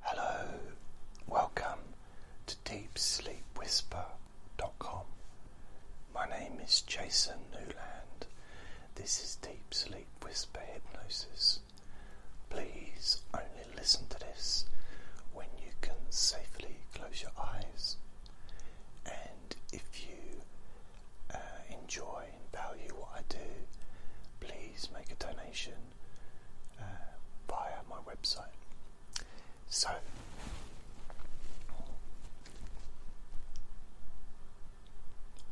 Hello, welcome to DeepSleepWhisper.com. My name is Jason Newland. This is Deep Sleep Whisper Hypnosis. Please only listen to this when you can safely close your eyes. And if you uh, enjoy and value what I do, please make a donation uh, via my website. So,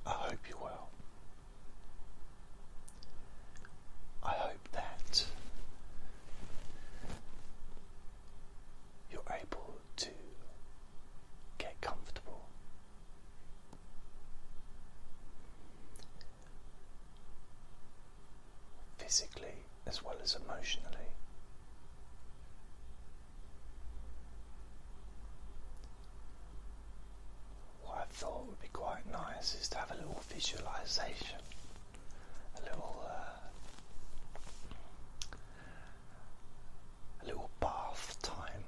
I hope you will. I hope that you're able to get comfortable physically as well as emotionally. What I thought would be quite nice is to have a little visualization, a little uh, a little bath time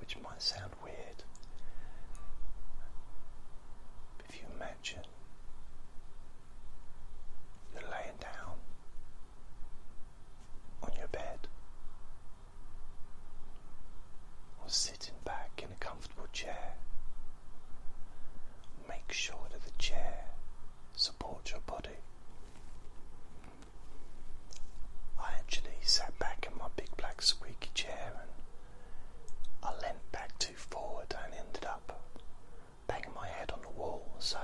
which might sound weird. But if you imagine you're laying down on your bed or sitting back in a comfortable chair, make sure that the chair supports your body. I actually sat back in my big black squeaky chair and I leant back too forward and ended up banging my head on the wall. So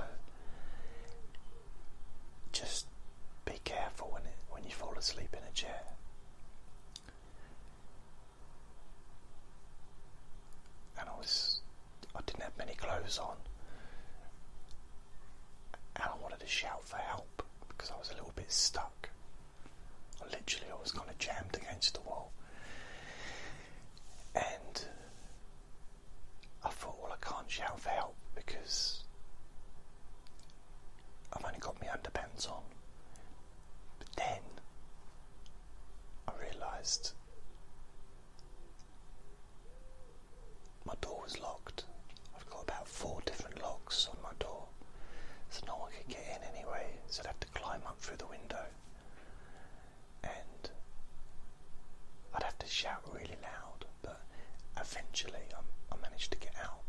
just be careful when when you fall asleep in a chair. And I was I didn't have many clothes on, and I wanted to shout for help because I was a little bit stuck. I literally, I was kind of jammed against the wall, and I thought, well, I can't shout for help because I've only got my underpants on. But then I realised my door was locked. I've got about four different locks on my door, so no one could get in anyway, so I'd have to climb up through the window. And I'd have to shout really loud, but eventually I, managed to get out.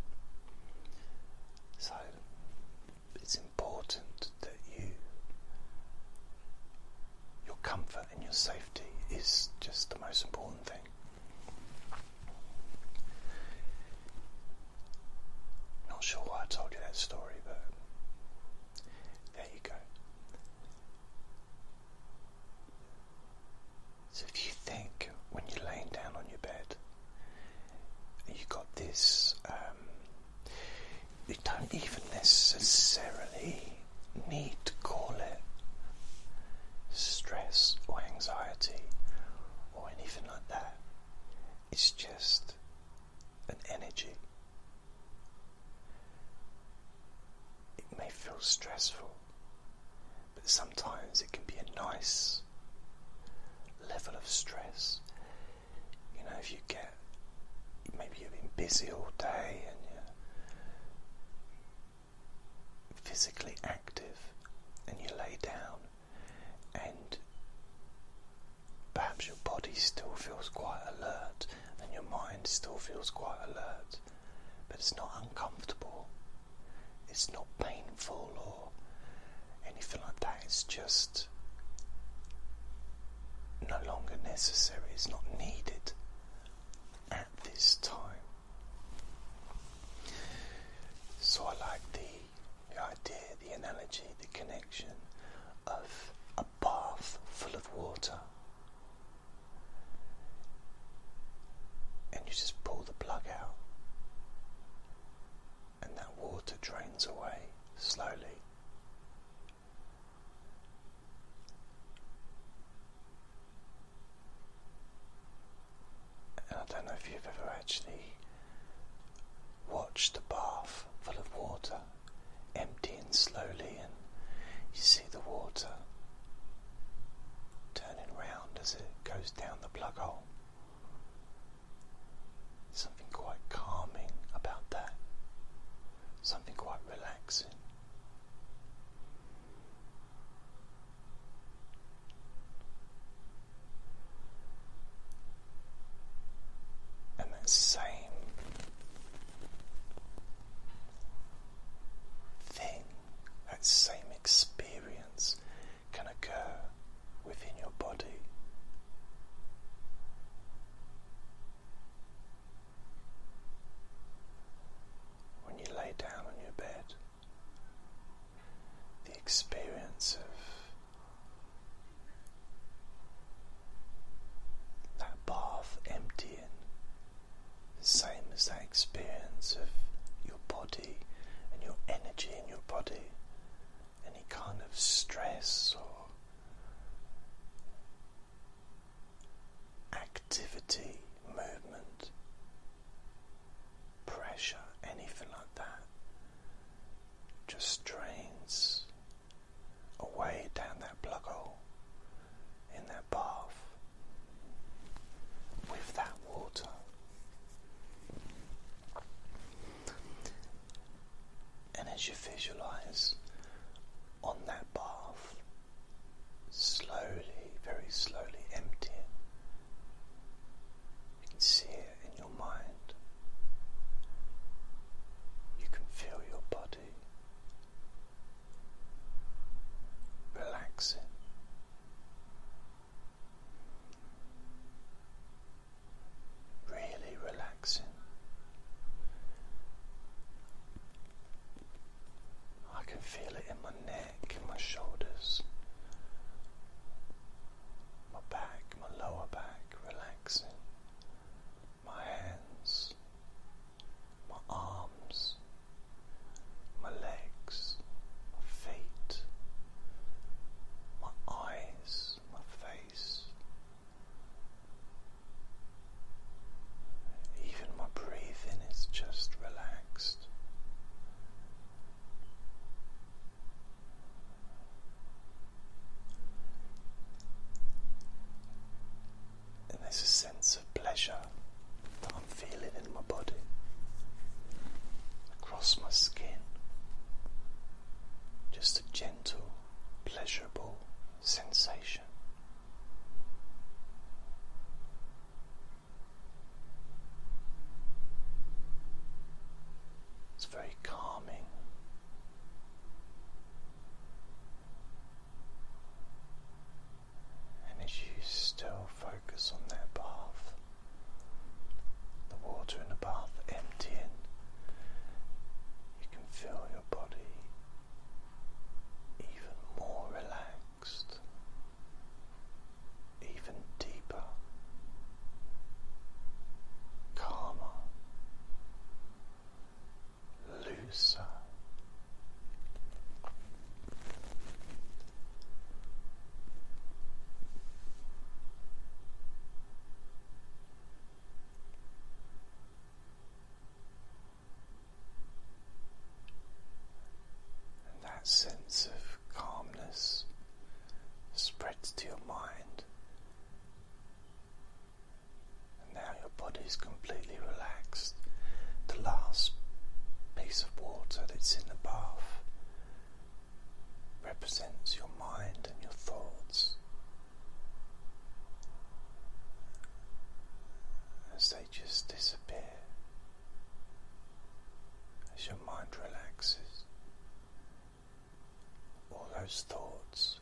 So it's important that you your comfort and your safety is just the most important thing. Not sure why I told you that story, but there you go. So if you think when you're laying down on your bed, you got this, um, you don't even necessarily need to call it stress or anxiety or anything like that. It's just an energy. It may feel stressful, but sometimes it can be a nice level of stress. You know, if you get maybe you've been busy all day and you physically active and you lay down and perhaps your body still feels quite alert and your mind still feels quite alert but it's not uncomfortable it's not painful or anything like that it's just no longer necessary it's not needed at this time. So I like the, the idea, the analogy, the connection of a bath full of water. And you just pull the plug out, and that water drains away slowly. And I don't know if you've ever actually watched a bath full of water emptying slowly, and you see the water turning round as it goes down the plug hole. Something quite calming about that, something quite relaxing. And that same thing, that same experience can occur within your body when you lay down on your bed, the experience of that bath emptying, the same as that experience of your body and your energy in your body, any kind of stress or activity, movement, pressure, anything like that just drains away down that plug hole in that bath with that water. And as you visualize on that bath, slowly, very slowly empty it. You can see it in your mind. You can feel your body relaxing. Really relaxing. I can feel it in my neck, in my shoulders, my back, my lower back relaxing, my hands, my arms, my legs, my feet, my eyes, my face, even my breathing is just relaxed. And there's a sense of pleasure that I'm feeling in my body, across my skin. Just a gentle, pleasurable sensation. It's very calming. And as you still focus on that bath, the water in the bath emptying, you can feel your body even more relaxed, even deeper, calmer, looser. And that sense of calmness spreads to your mind. And now your body is completely relaxed. The last piece of water that's in the bath represents your mind and your thoughts as they just disappear, as your mind relaxes, all those thoughts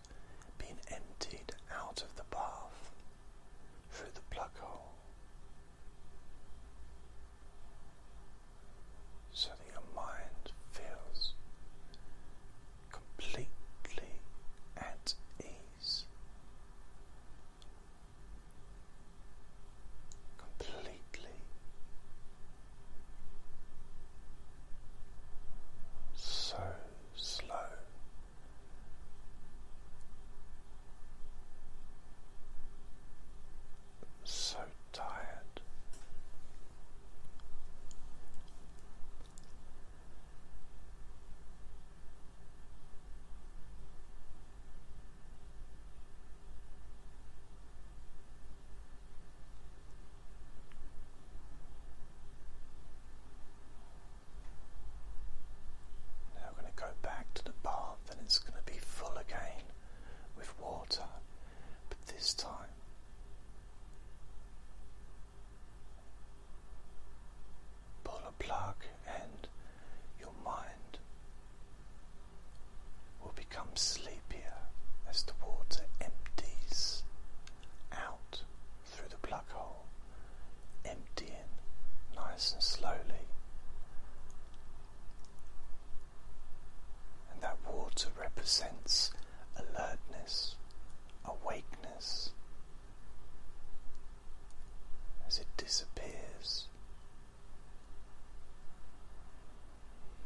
being emptied out of the path through the plug hole. So that your mind fills completely at ease, completely so slow. So tired, now we're going to go back to the bath and it's going to be full again with water, but this time Pull a plug, and your mind will become sleepier as the water empties out through the plug hole, emptying nice and slowly and that water represents alertness, awakeness. As it disappears,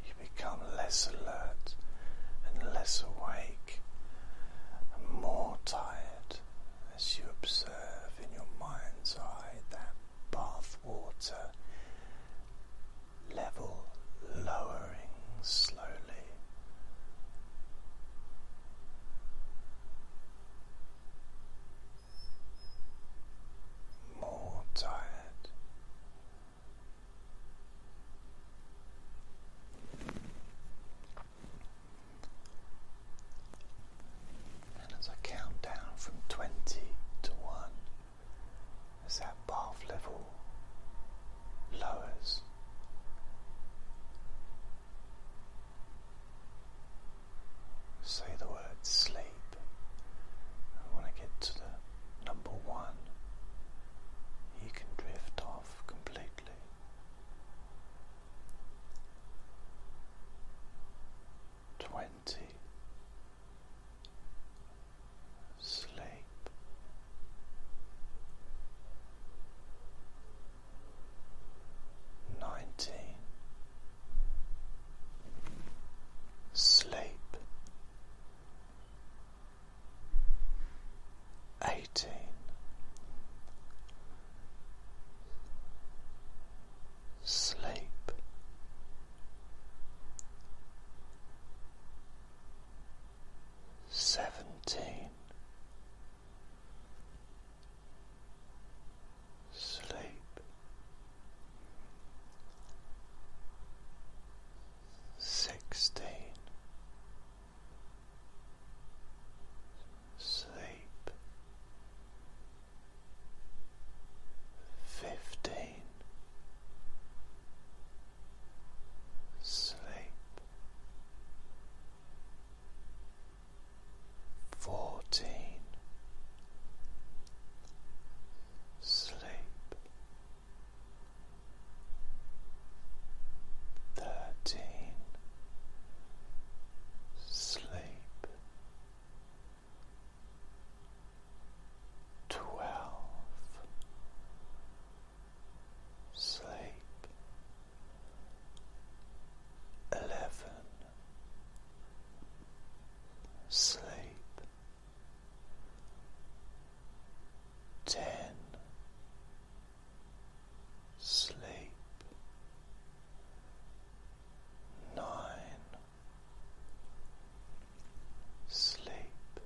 you become less alert and less awake and more tired as you observe in your mind's eye that bath water level lowering slowly. More tired. And as I count down from twenty to one, as that bath level lowers. Say the word sleep. And when I get to the number one, you can drift off completely. Twenty sleep. Nineteen Sleep eighteen Sleep Seventeen Sleep Sixteen Sleep fifteen sleep fourteen sleep thirteen sleep twelve, sleep, eleven, sleep, ten, sleep, nine sleep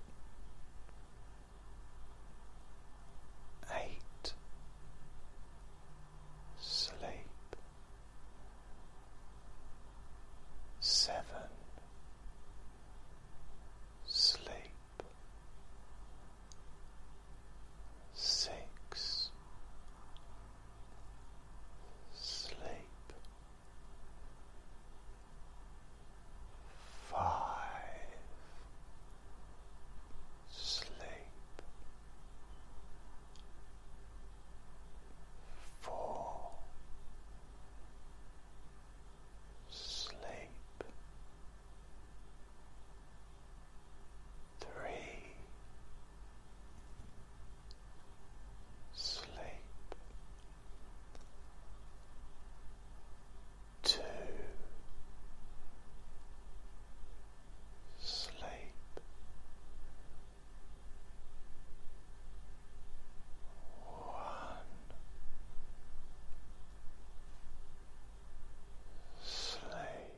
eight sleep seven sleep six sleep. Five sleep four sleep three sleep two sleep one sleep